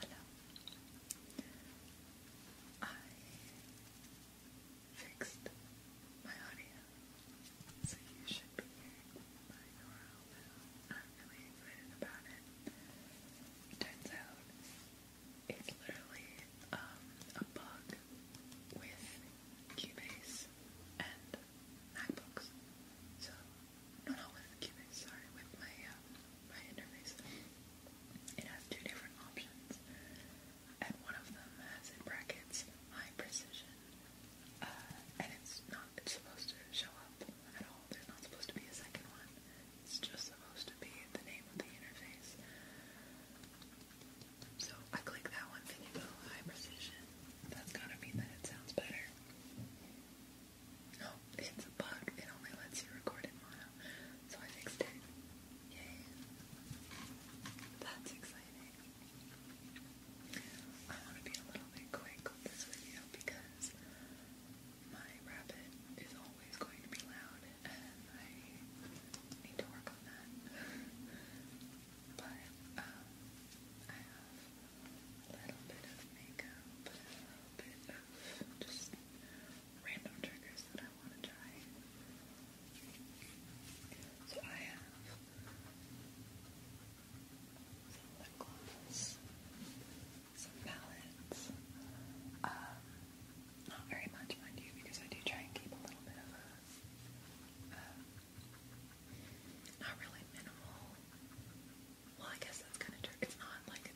Hello. I fixed my audio, so you should be hearing my normal now. I'm really excited about it. Turns out it's literally a bug with Cubase and MacBooks. So, not with Cubase, sorry, with my, uh, my interface. It has two different options, and one of them has in brackets high precision, uh, and it's not it's supposed to show up at all. There's not supposed to be a second one. It's just supposed to be the name of the interface. So I click that one, then you go high precision. That's gotta mean that it sounds better. No, it's a bug. It only lets you record in mono. So I fixed it. Yay. That's exciting. I want to be a little bit quick with this video because my rabbit is always going to be loud and I need to work on that. But I have a little bit of makeup, a little bit of just random triggers that I want to try. So I have some lip gloss, some palettes. Um, not very much, mind you, because I do try and keep a little bit of um, not really minimal. Well, I guess that's kind of true. It's not like the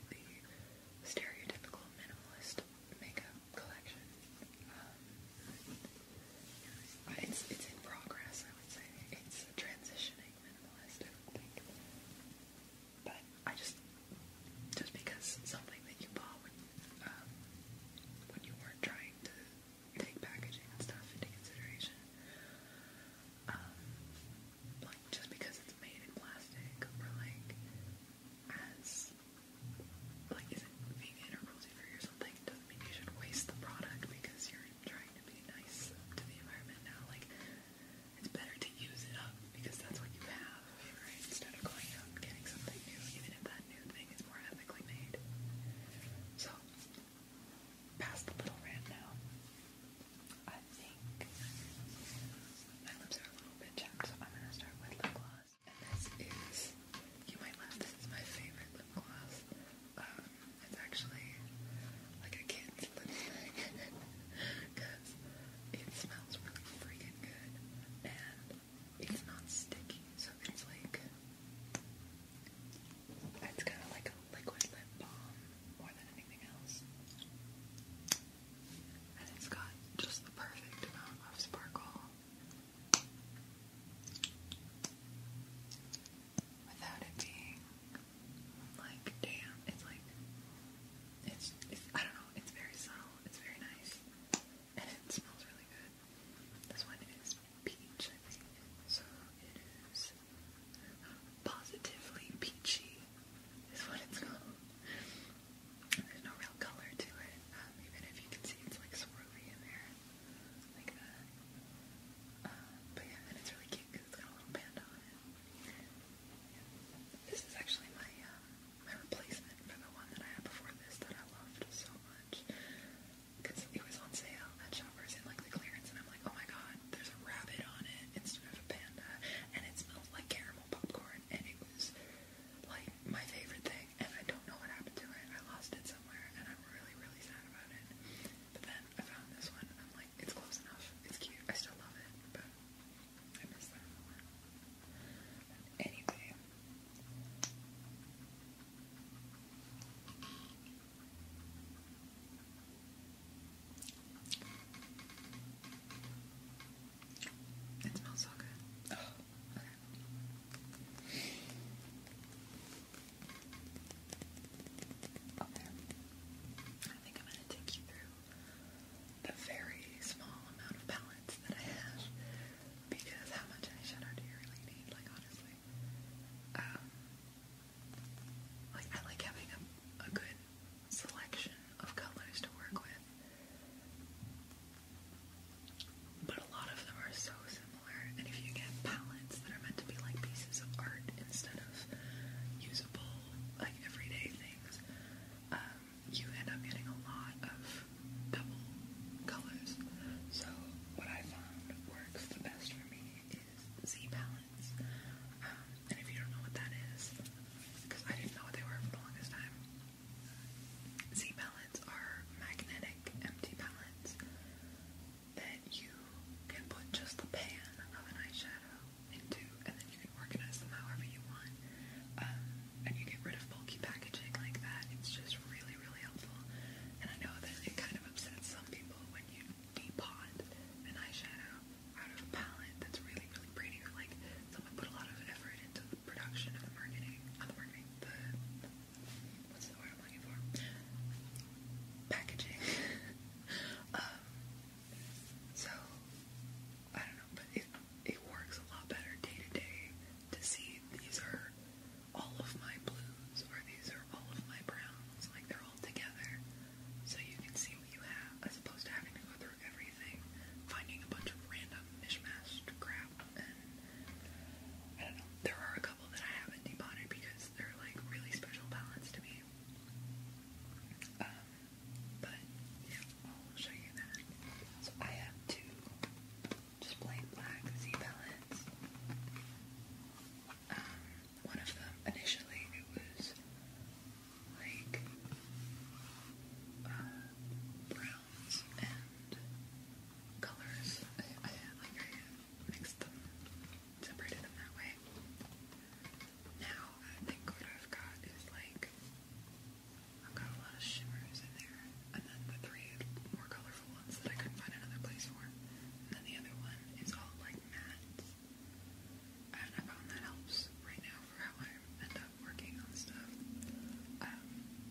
stereotypical minimalist makeup collection. Um, it's it's in progress, I would say. It's transitioning minimalist, I would think. But I just just because something that you bought when um, when you weren't trying to take packaging and stuff into consideration. Um, like just because it's made in plastic or like as like isn't vegan or cruelty free or something doesn't mean you should waste the product because you're trying to be nice to the environment now. Like it's better to use it up because that's what you have, right? Instead of going out getting something new, even if that new thing is more ethically made. So, past the little rant now. I think my lips are a little bit chapped, so I'm gonna start with lip gloss. And this is, you might laugh, this is my favorite lip gloss. Um, it's actually like a kid's lipstick because it smells really freaking good it's not sticky, so it's like it's kind of like a liquid lip balm more than anything else. And it's got just the perfect amount of sparkle without it being like damn. It's like it's, it's I don't know. It's very subtle. It's very nice and it smells really good. This one is peach, I think. So it is uh, positively peachy, is what it's called. There's no real color to it, um, even if you can see it's like swirly in there, like that. Uh, uh, but yeah, and it's really cute because it's got a little panda on it. Yeah. This is actually my um, my replacement for the one that I had before this that I loved so much. Because it was on sale at Shoppers in like the clearance, and I'm like, oh my god, there's a rabbit on it instead of a panda, and it smelled like caramel popcorn, and it was like my favorite thing, and I don't know what happened to it. I lost it somewhere, and I'm really, really sad about it. But then I found this one, and I'm like, it's close enough, it's cute, I still love it, but I miss that one. Anyway, it smells so good. okay. Oh, okay. I think I'm going to take you through the very small amount of palettes that I have because how much eyeshadow do you really need? Like, honestly. Um, like, I like having a, a good selection of colors to work with. But a lot of them are so similar, and if you get palettes that are meant to be like pieces of art instead of usable, like everyday things, um, you end up getting a lot of double colors. So what I found works the best for me is Z palettes. Um, and if you don't know what that is, because I didn't know what they were for the longest time, Z palettes are magnetic empty palettes that you can put just the pan of an eyeshadow into, and then you can organize them however you want. Um, and you get rid of bulky packaging like that, it's just really, really helpful. And I know that it kind of upsets some people when you depot an eyeshadow out of a palette that's really, really pretty, or like someone put a lot of effort into the production of the marketing, the what's the word I'm looking for? Packaging. Um, so I don't know, but it it works a lot better day to day to see these are all of my blues or these are all of my browns, like they're all together. So you can see what you have as opposed to having to go through everything, finding a bunch of random mishmash crap and There are a couple that I haven't depotted because they're like really special palettes to me. Um, but yeah, I'll show you that. So I have two just plain black Z um, one of them initially it was like uh, browns and colors. I, mixed them, separated them that way. Now I think what I've got is like I've got a lot of shimmers in there, and then the three more colorful ones that I couldn't find another place for. And then the other one is all like matte. And I found that helps right now for how I end up working on stuff.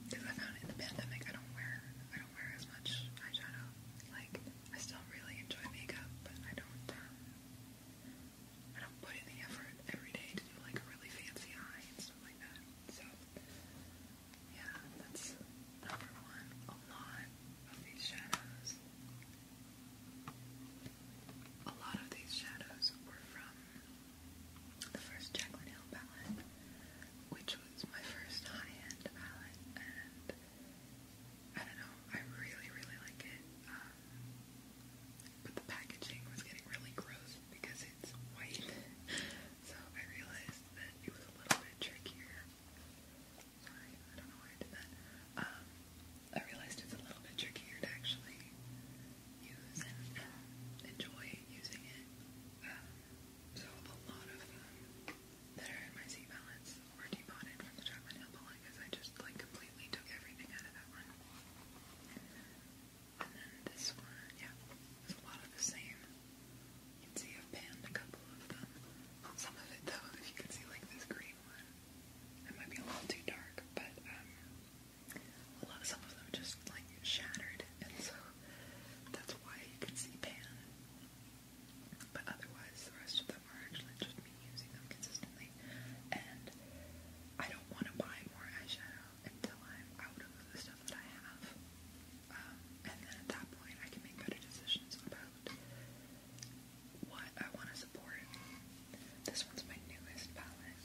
because um, I found in the pandemic I don't wear I don't wear as much eyeshadow. Like I still really enjoy makeup, but I don't um, I don't put in the effort every day to do like really fancy eye. So, yeah, that's number one. A lot of these shadows, a lot of these shadows were from the first Jaclyn Hill palette, which was my first high-end palette, and I don't know, I really, really like it. Um, but the packaging was getting really gross because it's white. So I realized that it was a little bit trickier. Sorry, I don't know why I did that. Um, I realized it's a little bit trickier to actually use and um, enjoy using it. Um, so a lot of them that are in my Z balance were debonded from the Chocolate Hill because I just like completely took everything out of that one. And then this one, yeah, there's a lot of the same. You can see I've panned a couple of them. Some of it though, if you can see like this green one, it might be a little too dark, but um, a lot, some of them just like shattered, and so that's why you can see pan. But otherwise, the rest of them are actually just me using them consistently, and I don't want to buy more eyeshadow until I'm out of the stuff that I have. Um, and then at that point, I can make better decisions about what I want to support. This one's my newest palette,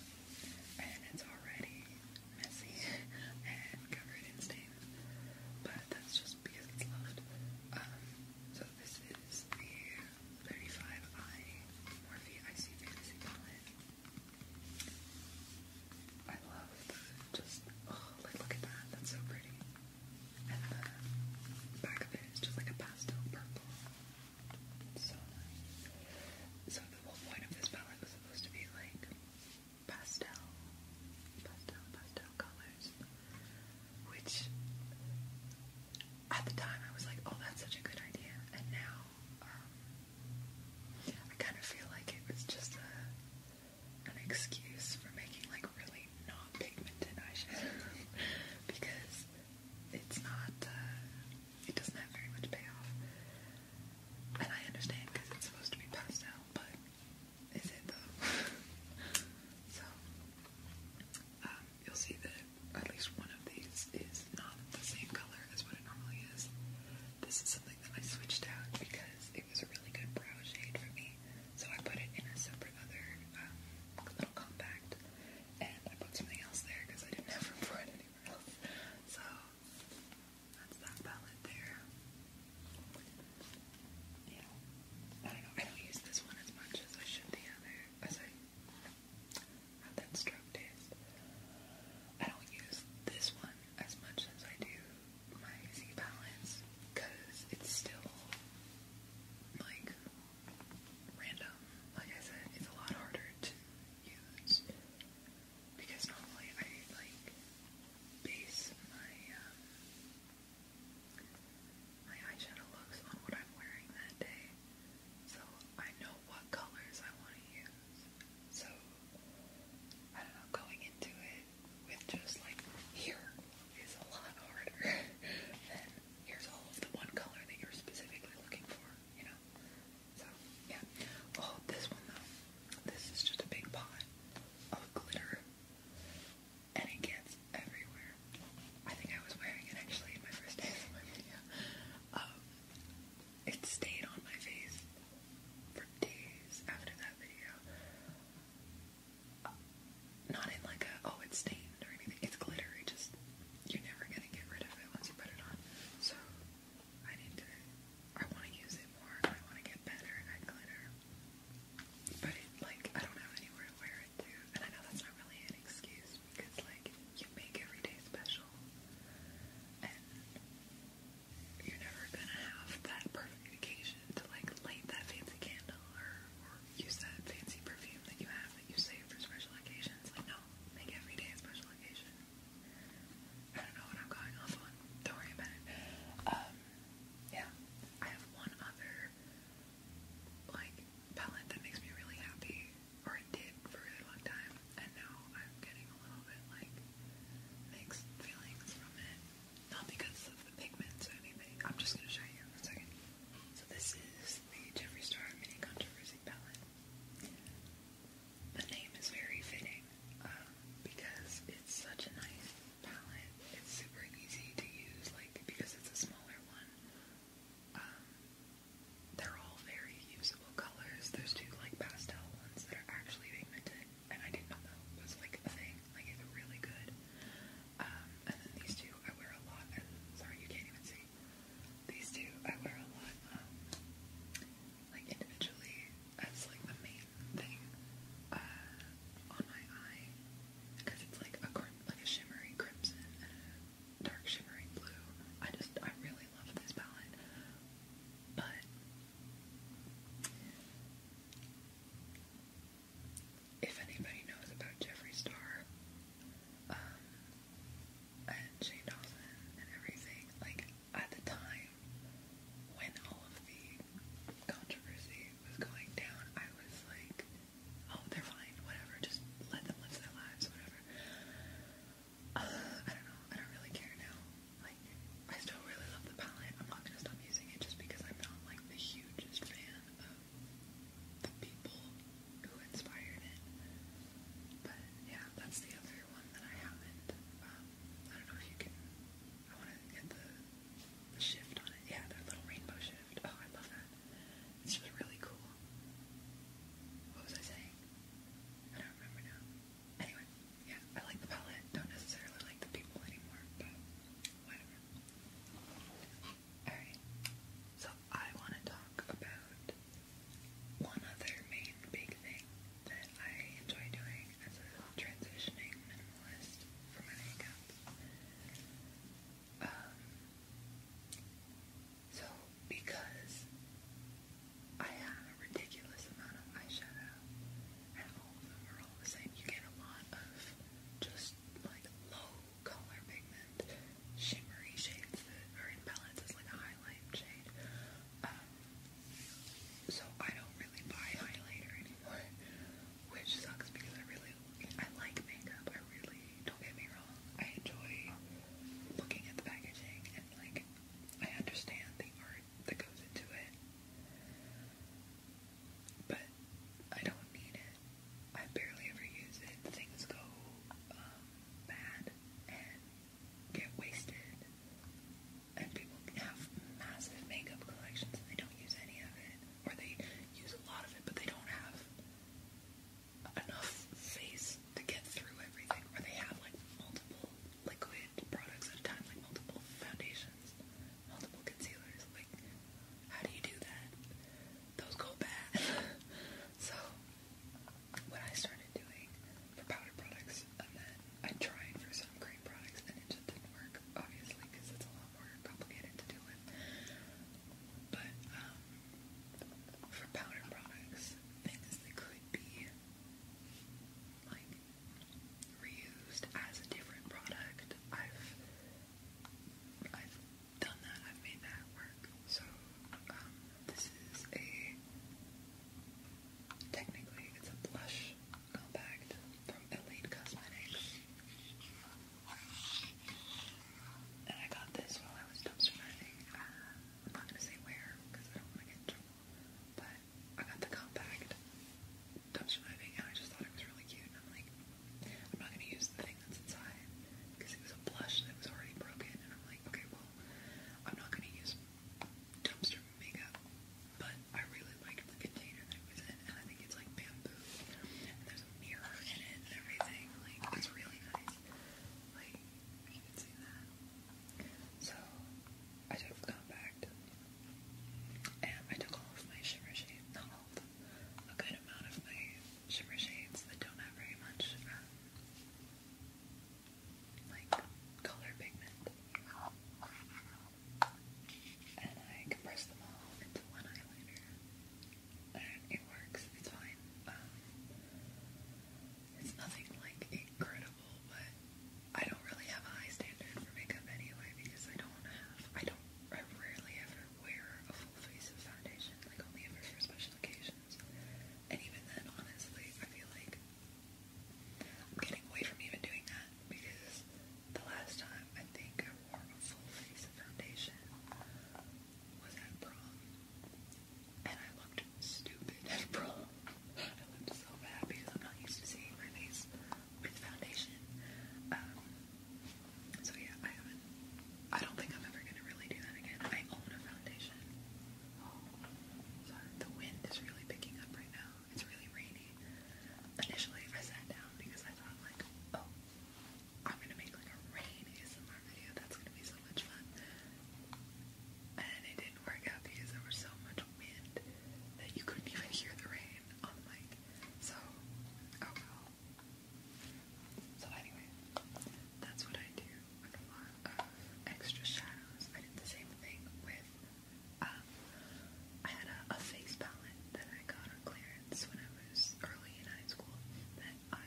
and it's already messy and covered in stains, but that's just because it's loved. Um, so this is the 35i Morphe IC Fantasy palette. I love just oh, look at that, that's so pretty. And the back of it is just like a pastel purple. So the whole point of this palette was supposed to be like pastel, pastel, pastel colors. Which at the time I was like, oh that's such a good idea. And now um, I kind of feel like it was just a, an excuse for making like really not pigmented eyeshadow because it's not, uh, it doesn't have very much payoff. And I understand because it's supposed to be pastel, but is it though? so, um, you'll see that at least one of these is not the same color as what it normally is. This is something that I switched out because it was a really good brow shade for me. So I put it in a separate other um, little compact. And I put something else there because I didn't have room it anywhere else. So that's that palette there. Yeah. I don't use this one as much as I should the other. As I that stroke tastes. I don't use this one as much as I do my Z Balance because it's still like random. Like I said, it's a lot harder to use because normally I like base my um, my eyeshadow looks on what I'm wearing that day. So I know what colors I want to use. So I don't know, going into it with just like here is a lot harder than here's all of the one color that you're specifically looking for, you know? So yeah. Oh, this one though. This is just a big pot of glitter. And it gets everywhere. I think I was wearing it actually in my first day of my video. Um, it stayed on my face for days after that video. not in like a, oh, it's stained or anything. It's glittery, just, you're never gonna get rid of it once you put it on. So, I need to, I wanna use it more. I wanna get better at glitter. But like, I don't have anywhere to wear it to. And I know that's not really an excuse, just because like you make every day special and you're never gonna have that perfect occasion to like light that fancy candle or, or use that fancy perfume that you have that you save for special occasions. Like no, make every day a special occasion. I don't know what I'm going off on. Don't worry about it. Um yeah. I have one other like palette that makes me really happy or did for a long time, and now I'm getting a little bit like mixed feelings from it. Not because of the pigments or anything. I'm just gonna show you in a second. So this is the Jeffree Star Mini Controversy palette. The name is very fitting um, because it's such a nice palette. It's super easy to use, like because it's a smaller one. Um, they're all very usable colors. There's two like pastel ones that are actually pigmented, and I did not know it was like a thing. Like it's really good. Um, and then these two I wear a lot. And sorry, you can't even see. These two I wear a lot, um, like individually as like the main thing uh, on my eye, because it's like a like a shimmery crimson and a dark shimmery blue. I just, I really love this palette. But if anybody knows about Jeffree Star um, and Shane Dawson and everything, like at the time when all of the controversy was going down, I was like, oh, they're fine, whatever, just let them live their lives, whatever. I don't know. I don't really care now. Like, I still really love the palette. I'm not gonna stop using it just because I'm not like the hugest fan of the people who inspired it. But yeah, that's the other one that I haven't. Um, I don't know if you can. I want to get the, shift on it. Yeah, the little rainbow shift. Oh, I love that. It's just really cool. What was I saying? I don't remember now. Anyway, yeah, I like the palette. Don't necessarily like the people anymore, but whatever. Alright, so I want to talk about one other main big thing that I enjoy doing as a transitioning minimalist for my makeup. Um, so, because I have a ridiculous amount of eyeshadow, and all of them are all the same, you get a lot of just like low color pigment, shimmery shades that are in palettes as like a highlight shade. Um, so I don't really buy highlighter anymore, which sucks because I really I like makeup. I really don't get me wrong, I enjoy looking at the packaging and like I understand the art that goes into it. But I don't need it. I barely ever use it. Things go um, bad and get wasted. And people have massive makeup collections and they don't use any of it. Or they use a lot of it, but they don't have enough face to get through everything, where they have like multiple liquid products at a time, like multiple foundations, multiple concealers. Like, how do you do that? Those go bad. so, what I started doing for powder products, and uh, then I tried for some products, and it just didn't work, obviously, because it's a lot more complicated to deal with. But, um, for powder products, things that could be like reused as a different product. I've I've done that. I've made that work. So um, this is a technically it's a blush compact from Elite Cosmetics. And I got this while I was dumpster diving. Uh, I'm not gonna say where because I don't want to get in trouble. But I got the compact dumpster diving, and I just thought it was really cute. And I'm like, I'm not gonna use the thing that's inside because it was a blush that was already broken. And I'm like, okay, well, I'm not gonna use dumpster makeup. But I really liked the container that was in, and I think it's like bamboo. there's a mirror in it and everything. Like it's really nice. Like, you can see that. So, I took compact uh, and I took all of my shimmer shades, not all a good amount of my shimmer shades that don't have very much, um, like, color pigment. And I compressed them all into one eyeliner it works. It's fine. Um, it's nothing like incredible, but I don't really have a high standard for makeup anyway because I don't have. I don't. I rarely ever wear a full face of foundation. Like only ever for special occasions. And even then, honestly, I feel like I'm getting away from even doing that because the last time I think I wore a full face of foundation was at prom, and I looked stupid at prom. I looked so bad because I'm not used to seeing my face with foundation. Um, so yeah, I haven't. I don't think I'm ever gonna really do that again. I own a foundation. Oh, sorry. The wind is really picking up right now. It's really rainy. Initially, I sat down because I thought like, oh, I'm gonna make like a rain ASMR video. That's gonna be so much fun. And it didn't work out because there was so much wind that you couldn't even hear the rain on So, oh well. So anyway, that's what I do with a lot of extra shadows. I did the same thing with, um, I had a, face palette that I got on clearance when I was early in high school I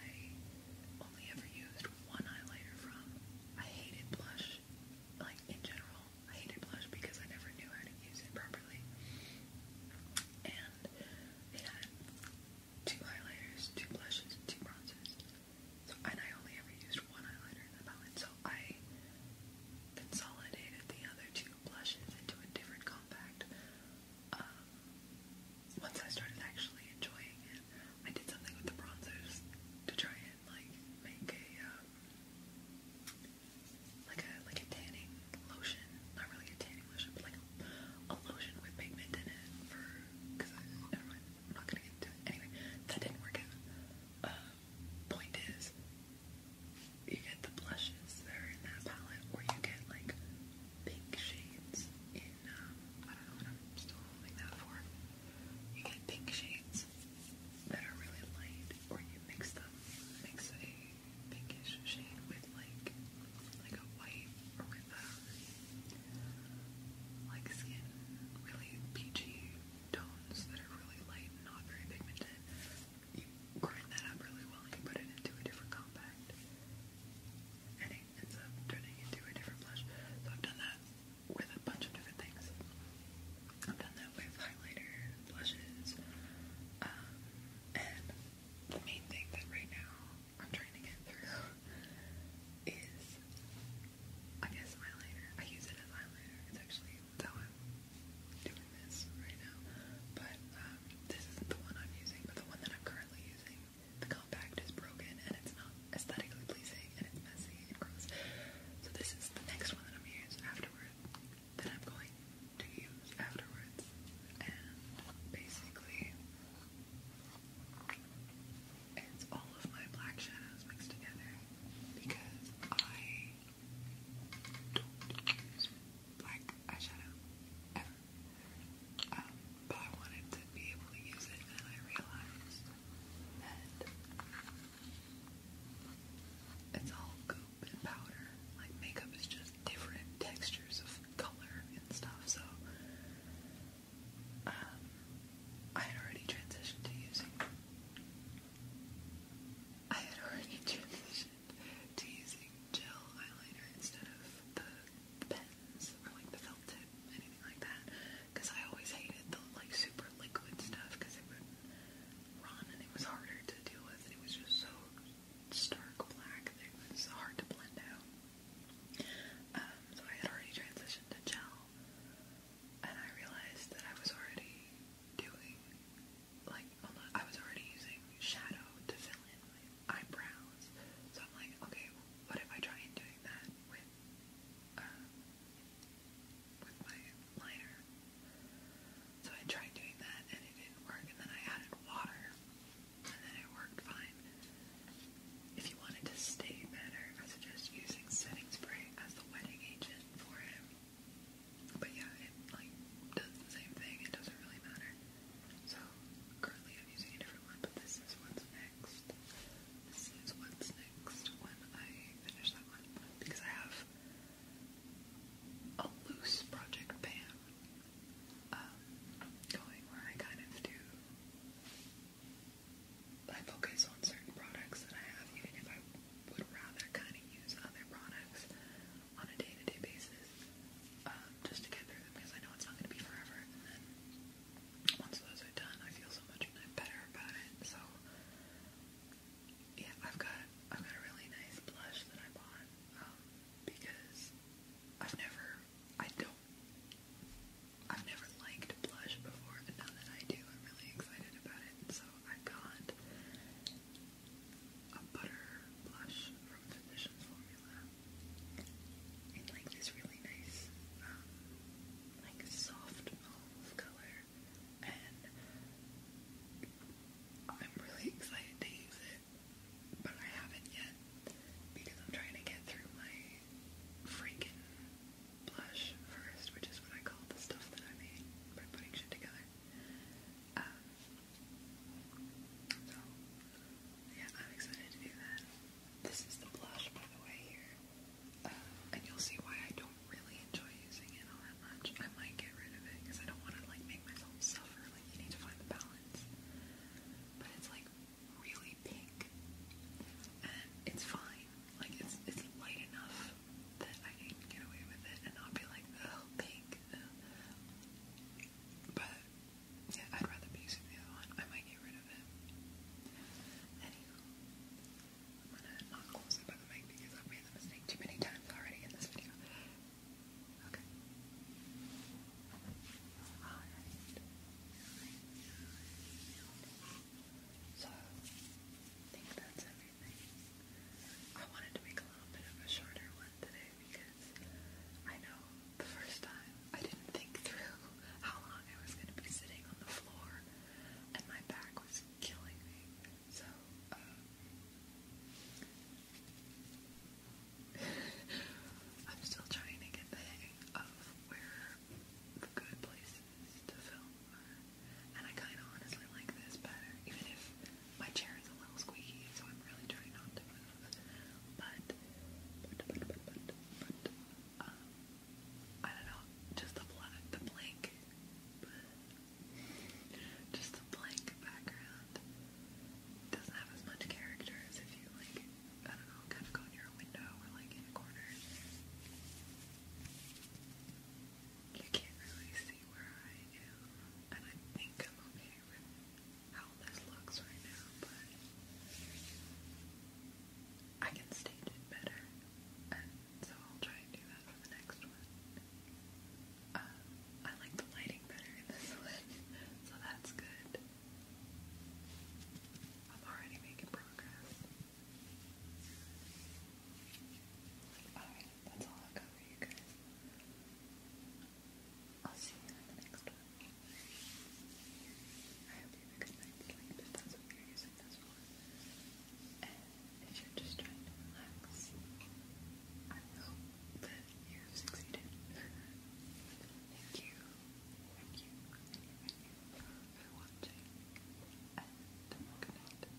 only ever used one eyeliner from. I hated blush, like in general. I hated blush because I never knew how to use it properly. And it had two eyeliners, two blushes, two bronzers. and I only ever used one eyeliner in the palette, so I consolidated the other two blushes into a different compact um, once I started actually enjoying it, I did something with the bronzers to try and like make a um, like a like a tanning lotion, not really a tanning lotion, but like a, lotion with pigment in it for never mind, I'm not gonna get into it anyway. That didn't work out. Um, point is, you get the blushes that in that palette, or you get like pink shades in, You get pink shades that are really light, or you mix them, mix a pinkish shade with like, like a white, or with like skin, really peachy tones that are really light not very pigmented. grind that up really well and put it into a different compact light ends up turning into a different blush. So I've done that with a bunch of different things. I've done that with highlighter, blushes, um, and the main thing that right now I'm trying to get through is, I guess, highlighter. I use it as highlighter. It's actually how i doing this right now. But um, this isn't the one I'm using, but the one that I'm currently using the compact is broken and it's not aesthetically pleasing and it's messy and gross. So this is the next one that I'm gonna That I'm going to use afterwards. And basically it's all of my black shadows mixed together because I don't use black eyeshadow but I wanted to be able to use it, and I realized that it's all goop and powder. Like, makeup is just different textures of color and stuff, so um, I had already transitioned to using. I had already transitioned mentioned to using gel eyeliner instead of the pens or like the felt tip, anything like that, because I always hated the like super liquid stuff because it would run and it was harder to deal with and it was just so stark black that it was hard to blend out. Um, so I had already transitioned to gel and I realized that I was already doing like I was already using shadow to fill in my eyebrows. So I'm like, okay, what if I try doing that with um, with my liner? So I tried doing that and it didn't work. And then I added water, and then it worked fine. If you wanted to stay better, I suggest using setting spray as the wetting agent for it. But yeah, it like does the same thing. It doesn't really matter. So currently I'm using a different one, but this is what's next. This is what's next when I finish that one because I have a loose project pan um, going where I kind of do. I focus on certain products that I have, even if I would rather kind of use other products on a day-to-day -day basis um, just to get through them because I know it's not going to be forever. And then once those are done, I feel so much better about it. So yeah, I've got I've got a really nice blush that I bought um, because I've never I don't I've never liked blush before, and now that I do, I'm really excited about it. So I got a butter blush from Physicians Formula in like this really nice, um, like soft olive color, and I'm really excited to use it, but I haven't yet because I'm trying to get through my freaking blush first, which is what I call the stuff that I made by putting shit together. Um, so, yeah, I'm excited to do that. This is the blush, by the way, um, and you'll see why I don't really enjoy using it all that much. I might get rid of it because I don't want to like make myself suffer. Like you need to find the balance. But it's like really pink, and it's fine. Like it's it's light enough that I can get away with it and not be like oh pink. But yeah, I'd rather be using the other one. I might get rid of it. Anywho, I'm gonna not close it by the mic because I've made the mistake too many times already in this video. Okay. Alright. So, I think that's everything. I wanted to make a little bit of a shorter one today because I know the first time I didn't think through how long I was going to be sitting on the floor and my back was killing me. So, uh, I'm still trying to get the hang of where the good places to film are. And I kind of honestly like this better, even if my chair is a little squeaky, so I'm really trying not to move. But, uh, I don't know, just the black, the blank, just the blank background doesn't have as much character if you like, I don't know, kind of go near a window or like in a corner. You can't really see where I am, and I think I'm okay with how this looks right now, but I can stage it better, and so I'll try and do that for the next one. Um, I like the lighting better in this one, so that's good. I'm already making progress. Alright, that's all I've got for you guys. I'll see you in the next one. I hope you have a good night's sleep if that's you're using And if you're just trying to relax, I hope that you've succeeded. thank you, thank you, thank you, for watching. And good